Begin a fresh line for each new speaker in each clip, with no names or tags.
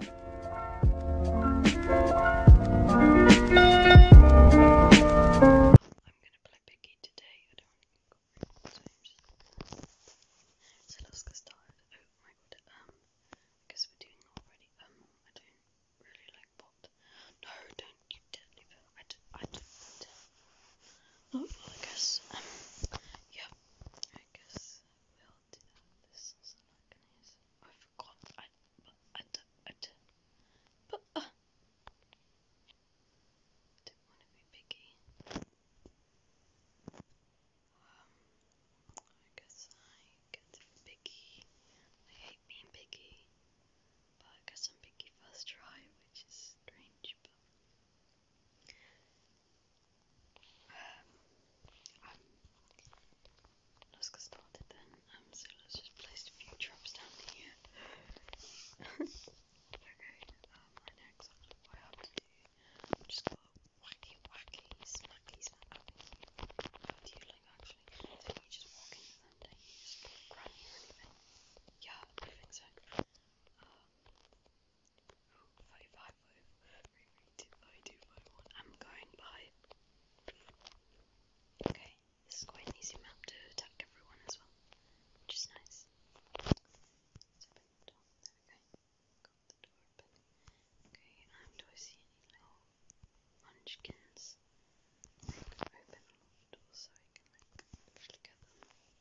gonna play Piggy today. So let's get started. Oh my god, um, we're doing already. Um, I don't really like No, don't you definitely feel I do I do oh, I guess um I guess we i forgot. I, but I, don't, I, don't, but, I uh. didn't want to be picky. Um, I guess I get to be picky. I hate being picky. But I guess I'm picky first try, which is strange, but Nuska started then, um, so let's just place a few traps down here. okay, um, my next what I have to do, just gonna wacky, wacky, smacky, smacky. How do you like actually? So you just walk into them, you? Just like, grab Yeah, I think um, five, five, five, three, three, two, five, two, five, one. I'm going by. Okay, this is quite an easy map to attack everyone as well, which is nice. Let's open the door. There we go. Got the door open. Okay, um, do I see any little munchkins? I can open a lot of doors so I can like look at them.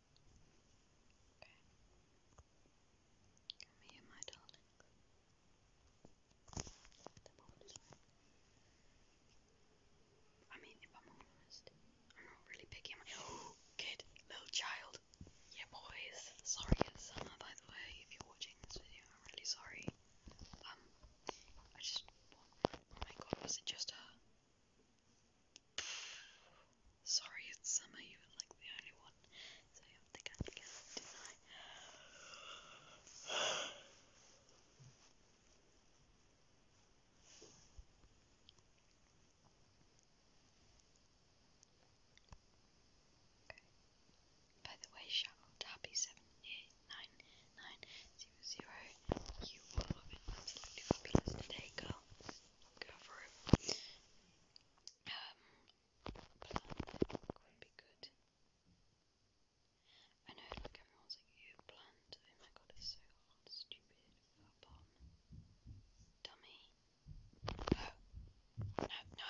Okay. Come here, my darling. I mean, if I'm I'm not really picky. i oh, kid, little child. Yeah, boys. Sorry, it's summer, by the way. If you're watching this video, I'm really sorry. Um, I just. Oh my god, was it just her? Sorry, it's summer, you were like the only one, so you have to kind of get it tonight. Okay. By the way, shout out to Happy seven eight nine nine zero zero. You were absolutely fabulous today, girl go for it. Um, plant would be good. I know, everyone's like, you plant. Oh my god, it's so hard, stupid. Up dummy. No, no, no.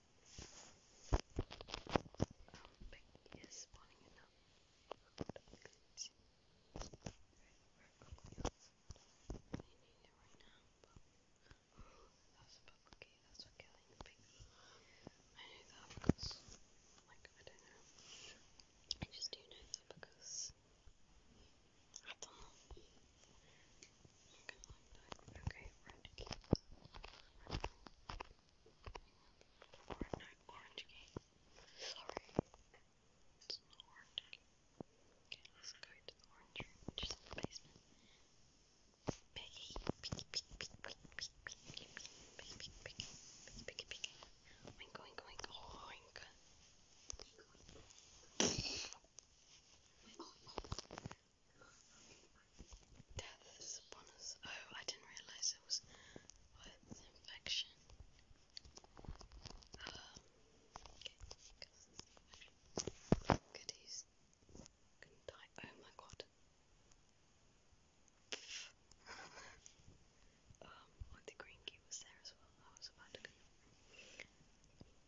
Pink is spawning it now. That's about okay, that's what killing the I knew that like, I don't know. I just do know that because I don't know that. Okay, red cube. Red Or no, orange cube. Sorry. It's not orange cube. Okay, let's go to the orange room, which is in the basement. Piggy, piggy, piggy, piggy, piggy, piggy, piggy, piggy, piggy, piggy, piggy, piggy, piggy. Oink, oink, oink, oink. Oink, oink. Oh, oh. Death is upon us. Oh, I didn't realize it was with infection. Um, goodies. could die. Oh my god. um, oh, the green key was there as well. I was about to go.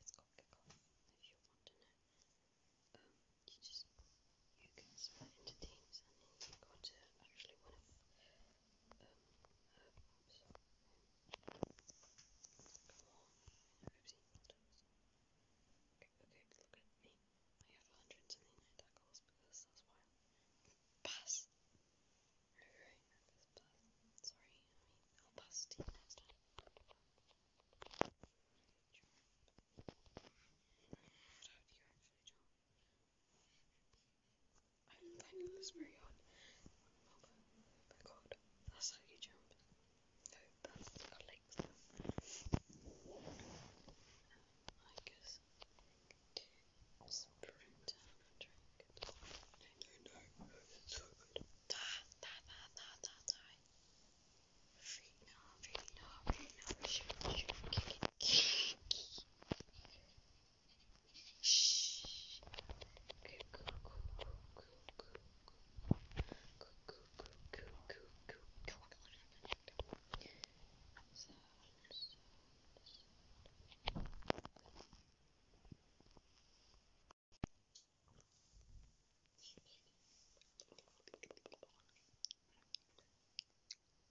It's got kick off if you want to know. Um, you just you can split into teams and then you've got to actually win a um uh, oops, um, come on, oopsie, Okay, okay, look at me. I have 179 tackles because that's why I'm fast. Okay this sorry, I mean, I'll you next time. John. How you actually, John? I'm finding this very odd. Oh god, that's how you jump. No, that's our legs. I guess no, no, no, it's so good. Die, die, die, die, die, die. Rina, Rina, Rina, shoot, shoot, kick it, kick it. Shh. Cuckoo, cuckoo, cuckoo, cuckoo, cuckoo, cuckoo, cuckoo. So, so, so. Let's go. Level up, level up, level up.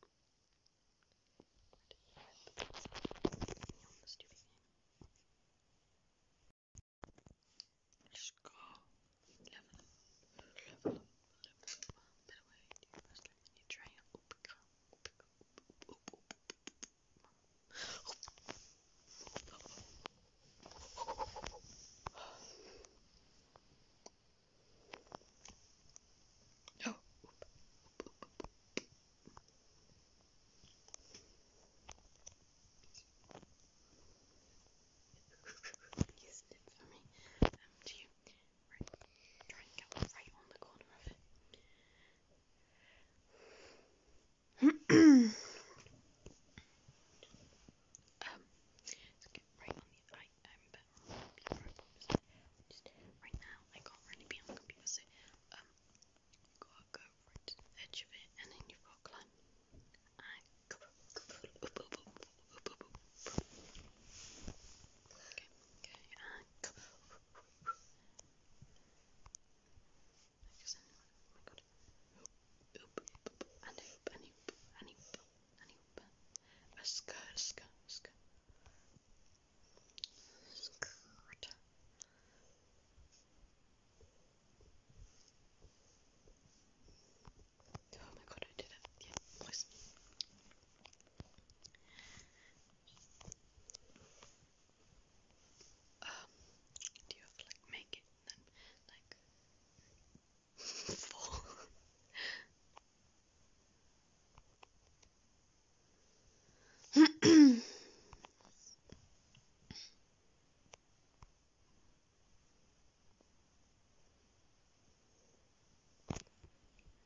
By the way, do you first let me try and up, up, up, up, up, up, up, up, you snipped for me. Um, do you? Right, try and get right on the corner of it um, right now, I can't really be on the computer, so um, you've go right edge of it, and then you've like anyone. Oh my god. Oop, oop, and oop, and oop, and oop, and oop. A skirt, skirt, skirt. Skirt. Oh my god, I did it. Yeah, nice. Um, do you have to like make it and then like fall?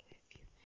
okay, if you